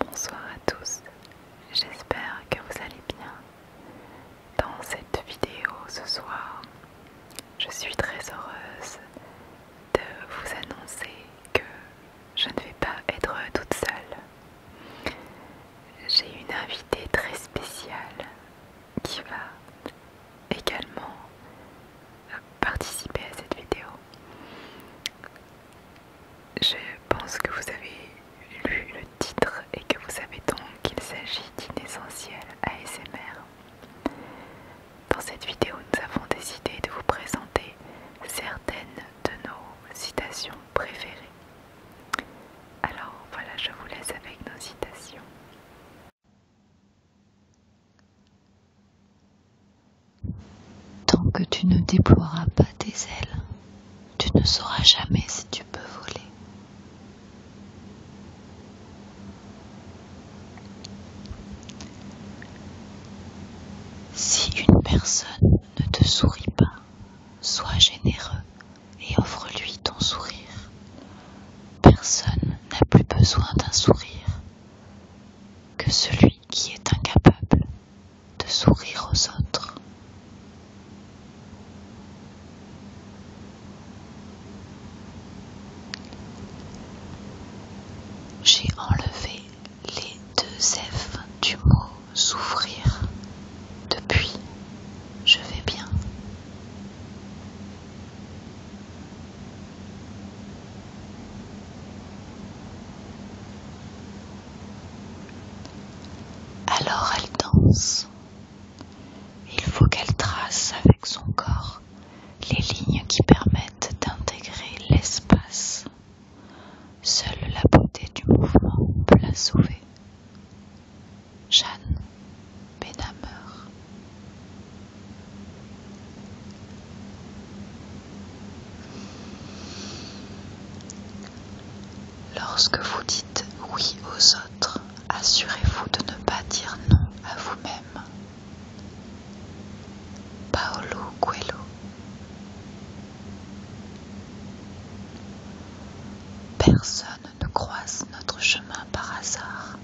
Bonsoir à tous, j'espère que vous allez bien. Dans cette vidéo ce soir, je suis très heureuse de vous annoncer que je ne vais pas être toute seule. J'ai une invitée très spéciale qui va également euh, participer à cette vidéo. Je pense que vous avez lu le titre et que vous savez donc qu'il s'agit d'inessentiel ASMR. Dans cette vidéo, nous avons décidé de vous présenter certaines de nos citations préférées. Alors voilà, je vous laisse avec nos citations. Tant que tu ne déploieras pas tes ailes, tu ne sauras jamais si tu peux voler. Si une personne ne te sourit pas, sois généreux et offre-lui ton sourire. Personne n'a plus besoin d'un sourire que celui qui est incapable de sourire aux autres. J'ai enlevé les deux F du mot souffrir » Depuis, je vais bien. Alors elle danse. Il faut qu'elle trace avec son corps les lignes qui permettent d'intégrer l'espace. Seule la beauté du mouvement peut la sauver. Jeanne Benhammer. Lorsque vous dites oui aux autres, assurez-vous de ne pas dire non à vous-même. Paolo Guello. Personne ne croise notre chemin par hasard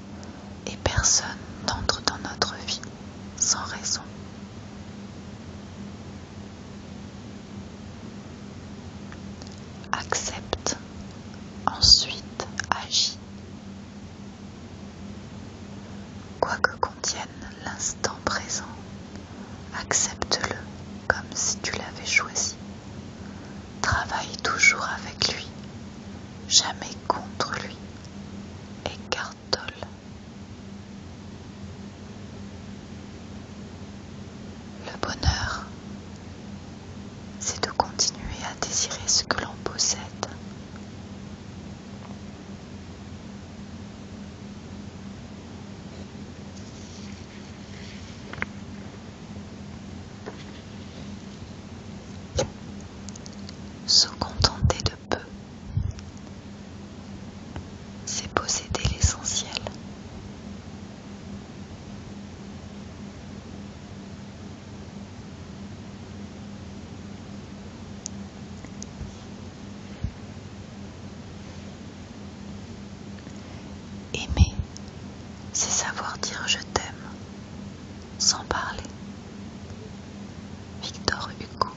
et personne n'entre dans notre vie sans raison. Accepte, ensuite agis. Quoi que contienne l'instant présent, accepte-le comme si tu l'avais choisi, Travaille toujours avec lui, jamais contre lui. écartole. Le bonheur, c'est de continuer à désirer ce que l'on possède. Se contenter de peu, c'est posséder l'essentiel. Aimer, c'est savoir dire je t'aime sans parler. Victor Hugo.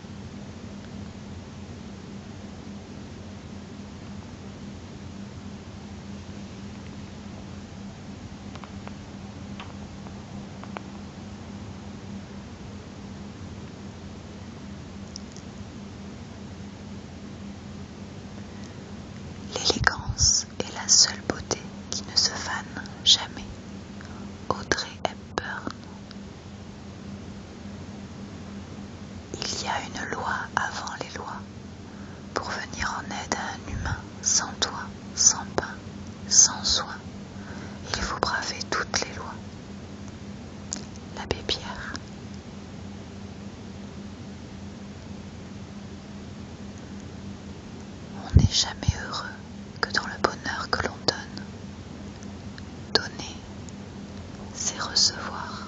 L'élégance et la seule beauté qui ne se fane jamais. Audrey Hepburn. Il y a une loi avant les lois pour venir en aide à un humain sans toit, sans pain, sans soin. Il faut braver toutes les lois. L'abbé Pierre. On n'est jamais heureux que dans le bonheur que l'on donne. Donner, c'est recevoir.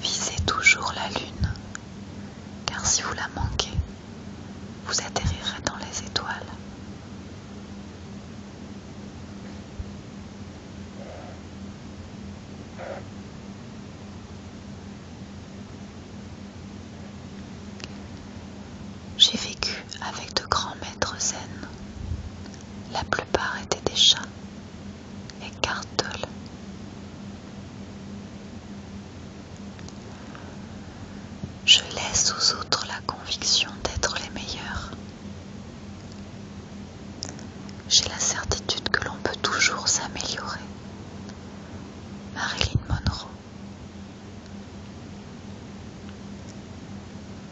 Visez toujours la lune car si vous la manquez, vous atterrirez dans les étoiles. J'ai vécu avec de grands maîtres zen. La plupart étaient des chats, et le Je laisse aux autres la conviction d'être les meilleurs. J'ai la certitude que l'on peut toujours s'améliorer. Marilyn Monroe.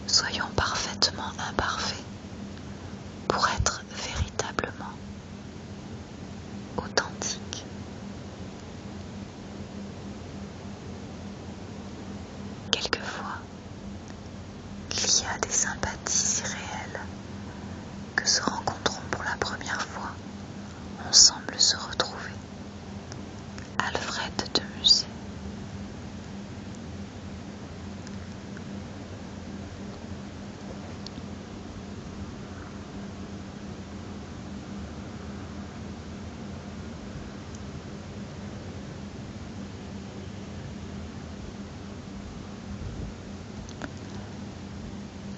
Soyons parfaitement imparfaits pour être véritablement authentique. Quelquefois, il y a des sympathies si réelles que se rencontrant pour la première fois, on semble se retrouver. Alfred de Musée.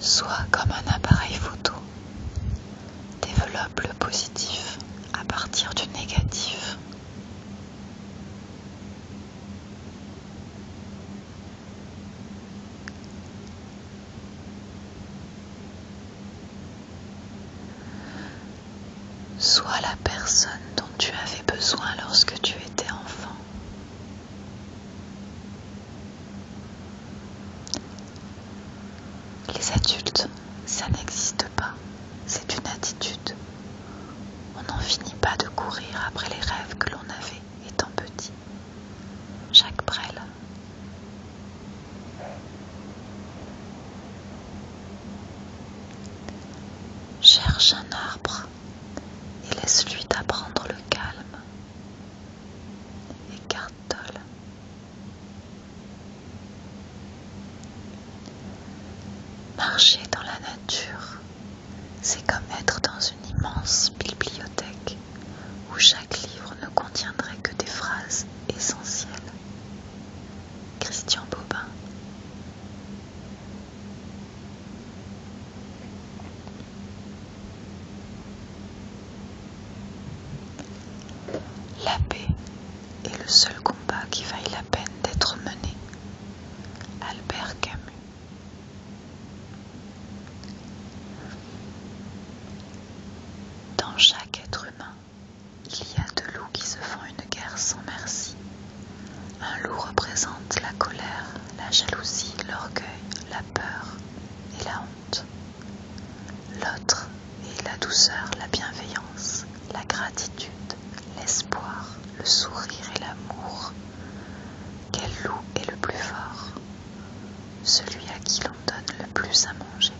Soit comme un appareil photo. Développe le positif à partir du négatif. Sois la personne dont tu avais besoin lorsque tu étais enfant. Les adultes, ça n'existe pas, c'est une attitude. On n'en finit pas de courir après les rêves que l'on avait étant petit. Jacques Brel. Cherche un arbre et laisse-lui t'apprendre le calme. et Marcher dans la nature, c'est comme être dans une immense bibliothèque où chaque livre ne contiendrait que des phrases essentielles. Christian Bobin La paix est le seul combat qui vaille la peine d'être mené. Albert Camus dans chaque être humain, il y a deux loups qui se font une guerre sans merci. Un loup représente la colère, la jalousie, l'orgueil, la peur et la honte. L'autre est la douceur, la bienveillance, la gratitude, l'espoir, le sourire et l'amour. Quel loup est le plus fort Celui à qui l'on donne le plus à manger.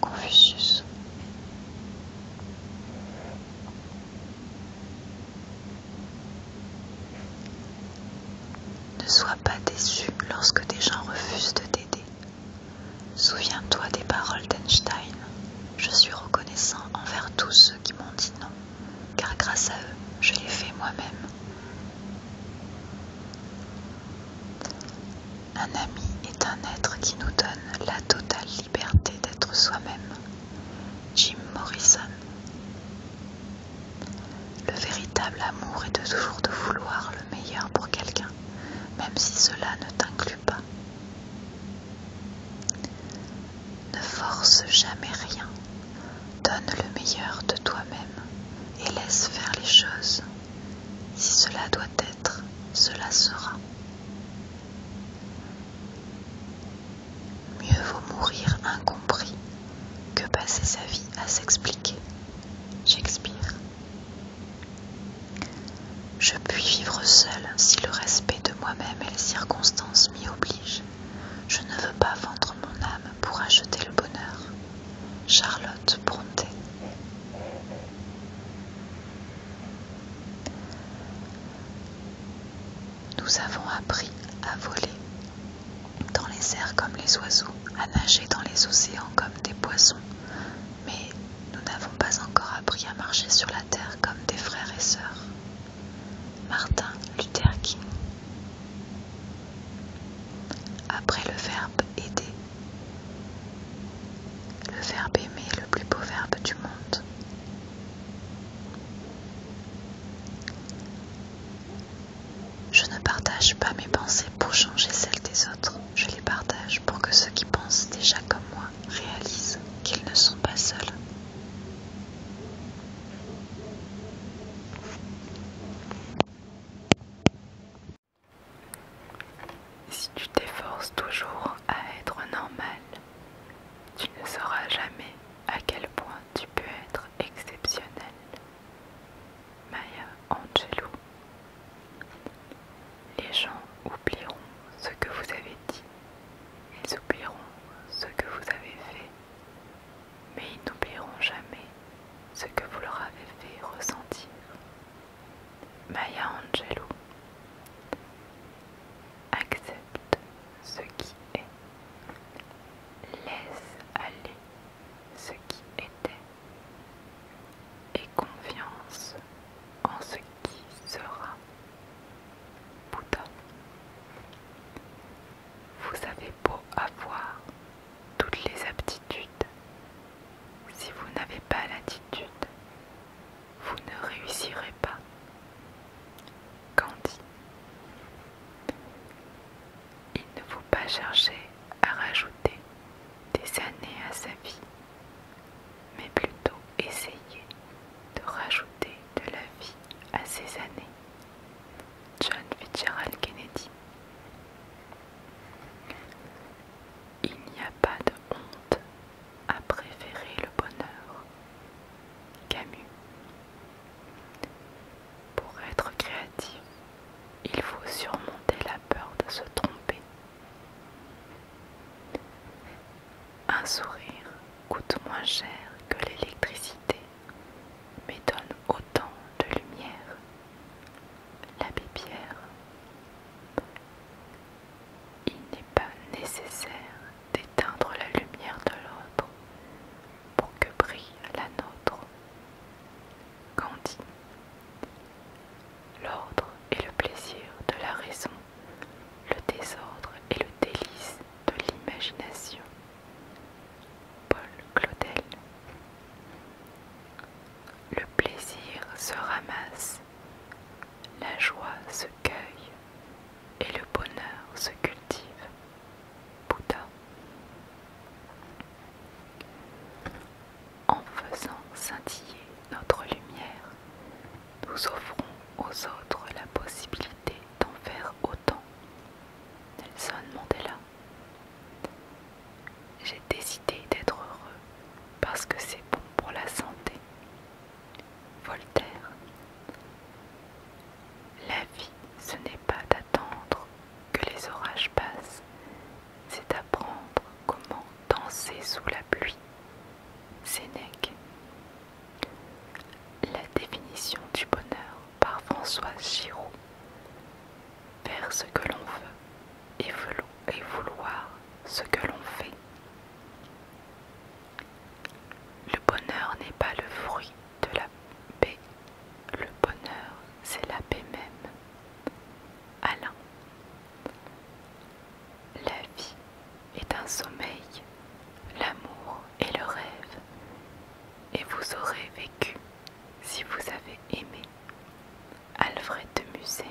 Confucius. Ne sois pas déçu lorsque des gens refusent de t'aider. Souviens-toi des paroles d'Einstein. Je suis reconnaissant envers tous ceux qui m'ont dit non car grâce à eux, je l'ai fait moi-même. Un ami est un être qui nous donne la totale liberté d'être soi-même. Jim Morrison. Le véritable amour est de toujours de vouloir le meilleur pour quelqu'un, même si cela ne t'inclut pas. Ne force jamais rien, Donne le meilleur de toi-même et laisse faire les choses. Si cela doit être, cela sera. Mieux vaut mourir incompris que passer sa vie à s'expliquer. J'expire Je puis vivre seul si le respect de moi-même et les circonstances m'y obligent. Je ne veux pas vendre mon âme pour acheter le bonheur. Charlotte Bronté. Nous avons appris à voler dans les airs comme les oiseaux, à nager dans les océans comme des poissons, mais nous n'avons pas encore appris à marcher sur la terre comme des frères et sœurs. Martin Luther King. Après le verbe aider, le verbe aimer est le plus beau verbe du monde. Je ne partage pas mes pensées pour changer celles des autres, je les partage pour que ceux qui pensent déjà comme moi réalisent qu'ils ne sont pas seuls. Si tu t'efforces toujours à être normal, tu ne sauras jamais à quel point tu peux être exceptionnel. Maya Angelou Les gens oublieront ce que vous avez dit, ils oublieront ce que vous avez fait, mais ils n'oublieront jamais ce que vous leur avez fait ressentir. Maya Angelou Accepte ce qui est, laisse aller ce qui était et confiance en ce qui sera. Bouddha vous avez beau avoir toutes les aptitudes, si vous n'avez pas l'attitude, vous ne réussirez pas. Candy. Il ne faut pas chercher à rajouter des années à sa vie, mais plutôt essayer de rajouter de la vie à ses années. John Fitzgerald Kennedy il n'y a pas de honte à préférer le bonheur. Camus. Pour être créatif, il faut surmonter la peur de se tromper. Un sourire coûte moins cher que l'électricité mais donne autant de lumière. L'abbé Pierre. Il n'est pas nécessaire d'éteindre la lumière de l'autre pour que brille la nôtre. Gandhi. L'ordre est le plaisir de la raison, le désordre est le délice de l'imagination. Paul Claudel. Le plaisir se ramasse, la joie se cueille et le bonheur se cultive. Bouddha. En faisant scintiller notre lumière, nous offrons aux autres la possibilité d'en faire autant. Nelson Mandela. J'ai décidé d'être heureux parce que c'est bon pour la santé. Voltaire. La vie, ce n'est pas d'attendre que les orages passent, c'est d'apprendre comment danser sous la pluie. Sénèque. La définition du bonheur par Françoise Giraud faire ce que l'on veut et, et vouloir ce que l'on fait. Le bonheur n'est pas le fruit de la paix, le bonheur c'est la paix même. Alain, la vie est un sommeil, l'amour est le rêve, et vous aurez vécu si vous avez aimé. Alfred de Musset.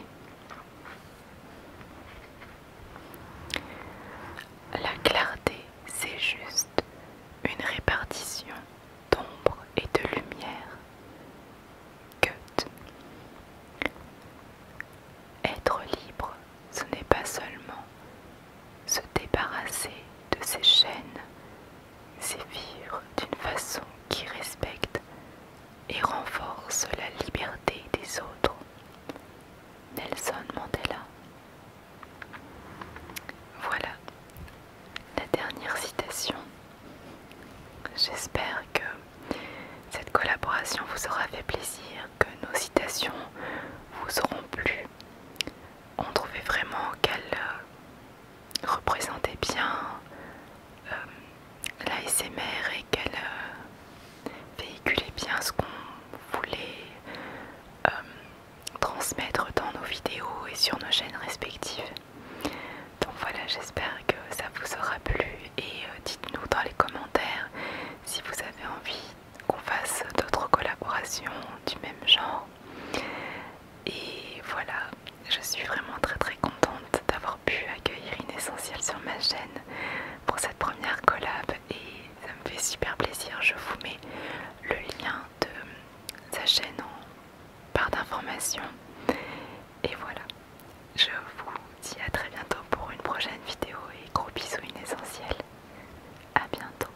La clarté, c'est juste une répartition d'ombre et de lumière. Goethe. Être libre, ce n'est pas seulement se débarrasser de ses chaînes sévir d'une façon qui respecte et renforce la liberté des autres. Nelson Mandela. Voilà la dernière citation. J'espère que cette collaboration vous aura fait plaisir, que nos citations vous auront plu. On trouvait vraiment qu'elle... Euh, représentait bien euh, la l'ASMR et qu'elle euh, véhiculait bien ce qu'on voulait euh, transmettre dans nos vidéos et sur nos chaînes respectives. Donc voilà, j'espère que ça vous aura plu et dites-nous dans les commentaires si vous avez envie qu'on fasse d'autres collaborations du même genre. Et voilà, je suis vraiment très très contente d'avoir pu accueillir une sur ma chaîne pour cette première collab et ça me fait super plaisir. Je vous mets le lien de sa chaîne en barre d'information. Et voilà, je vous dis à très bientôt pour une prochaine vidéo et gros bisous une essentielle. A bientôt.